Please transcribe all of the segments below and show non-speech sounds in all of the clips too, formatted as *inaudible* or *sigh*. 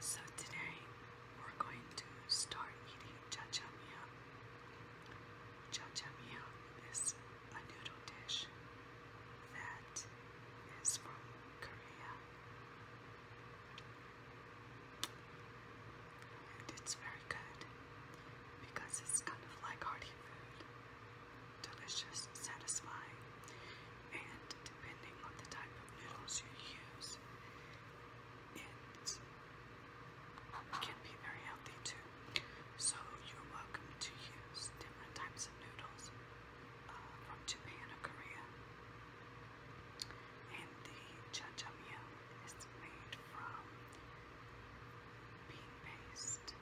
So today we're going to start eating jajangmyeon. Jajangmyeon is a noodle dish that is from Korea. And it's very good because it's kind of like hearty food. Delicious, satisfying, and depending on the type of noodles you use, it can be very healthy too. So you're welcome to use different types of noodles uh, from Japan or Korea. And the jajangmyeon is made from bean paste,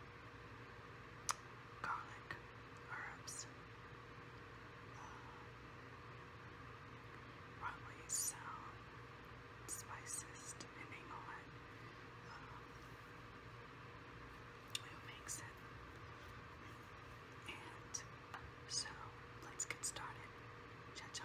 garlic, herbs, uh, probably spices depending on um, uh, who makes it. And so let's get started. Cha cha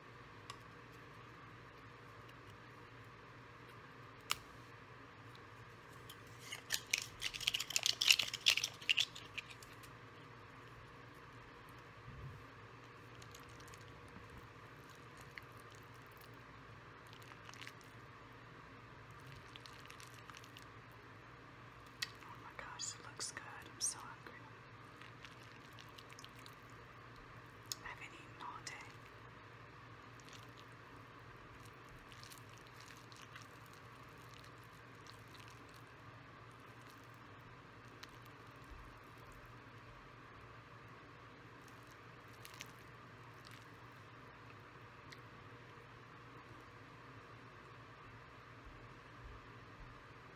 Oh my gosh, it looks good. I'm so hungry. I haven't eaten all day.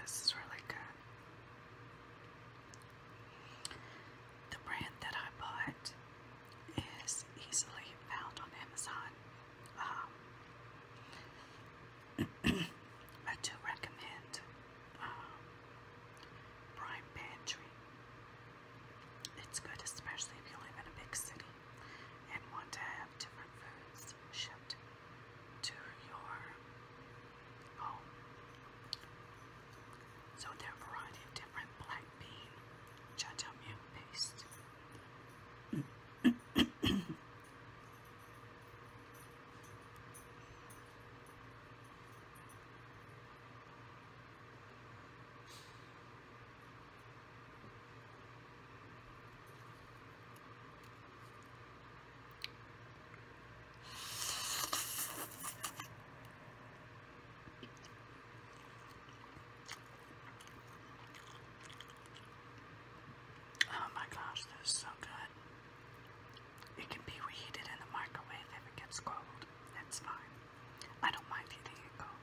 This is really good. The brand that I bought is easily found on Amazon. Um, *clears throat* I do recommend um, Prime Pantry. It's good, especially if you live in a big city and want to have different foods shipped to your home. So there variety of different black bean jajangmyeon paste. Oh my gosh, this is so good. It can be reheated in the microwave if it gets cold. That's fine. I don't mind eating it cold.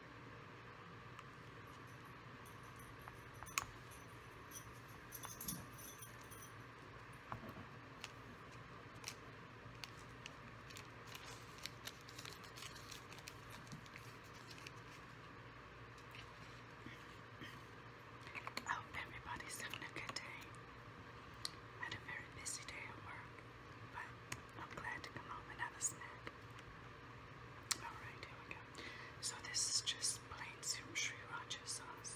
I oh, hope everybody's having a good day. had a very busy day at work. I'm glad to come home and snack. Alright, here we go. So this is just plain sriracha sauce.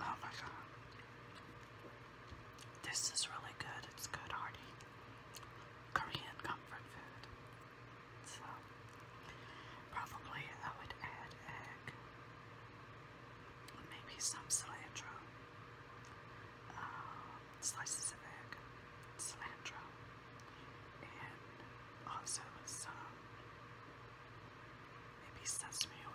Oh my god. This is really good. It's good, Hardy. Korean comfort food. So, probably I would add egg maybe some cilantro, uh, slices of egg, cilantro, and also some maybe sesame oil.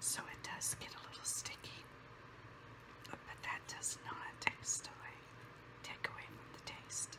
So it does get a little sticky, but that does not taste away, take away from the taste.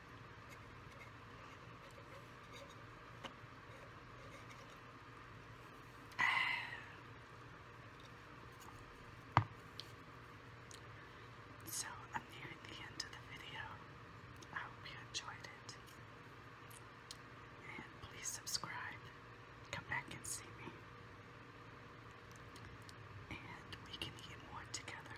*sighs* So I'm nearing the end of the video. I hope you enjoyed it. And please subscribe. Come back and see me. And we can eat more together.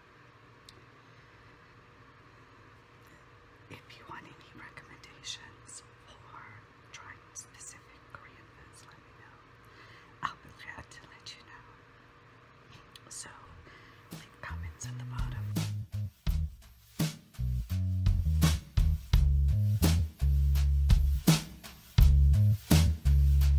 If you want any recommendations for trying specific Korean foods, let me know. I'll be glad to let you know. So, leave comments at the bottom.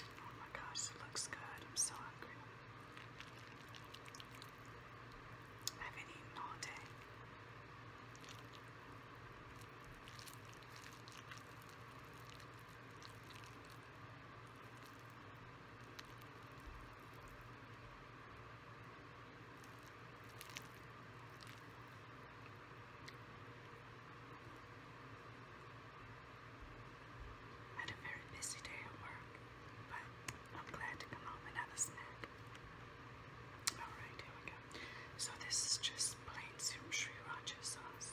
Oh my gosh, it looks good. I'm so hungry. I haven't eaten all day. I had a very busy day at work, but I'm glad to come home and have a snack. Alright, So this is just plain sriracha sauce.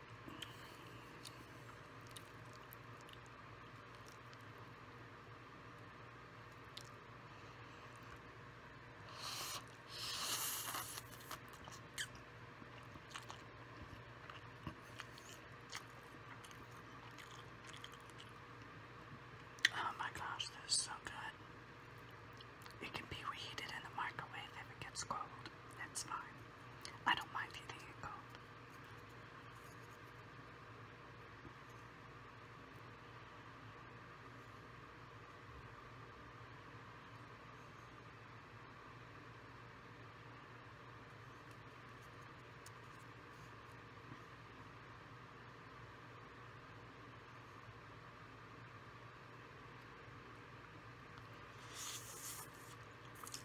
Oh my gosh, this is so good. It can be reheated in the microwave if it gets cold. That's fine. I don't mind eating it cold.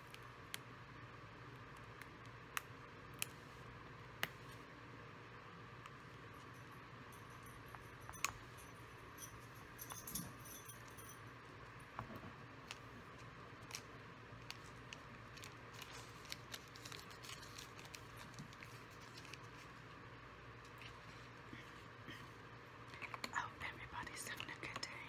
I oh, hope everybody's having a good day.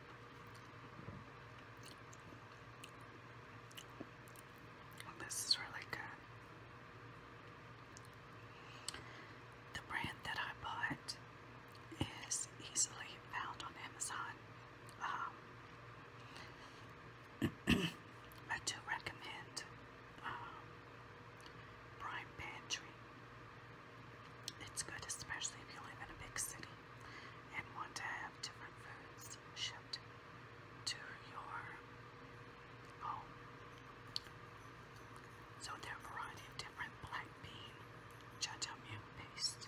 this is really good. The brand that I bought is easily found on Amazon. Um, *clears throat* I do recommend um, Prime Pantry. It's good, especially if you live in a big city and want to have different foods shipped to your home. So there variety of different black bean jajangmyeon paste.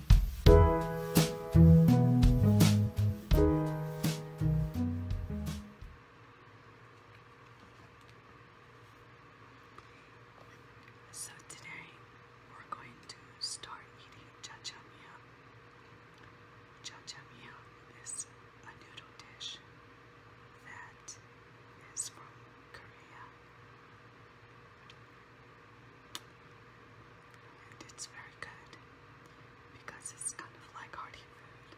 So today we're going to start eating jajamia. Jajamia is a noodle dish that is from Korea. And it's very good because it's kind of like hearty food.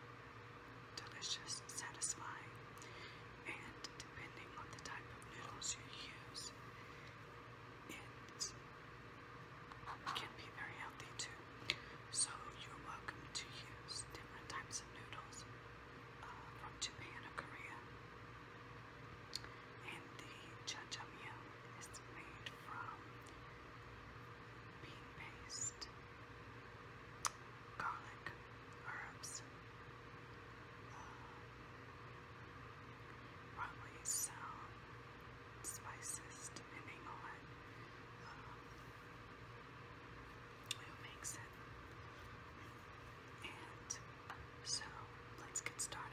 Delicious, satisfying, and depending on the type of noodles you use, it can be very healthy too. So you're welcome to use different types of noodles uh, from Japan or Korea. And the jajamyeon is made from bean paste, garlic, herbs, uh, probably spices depending on um, makes it. And so let's get started.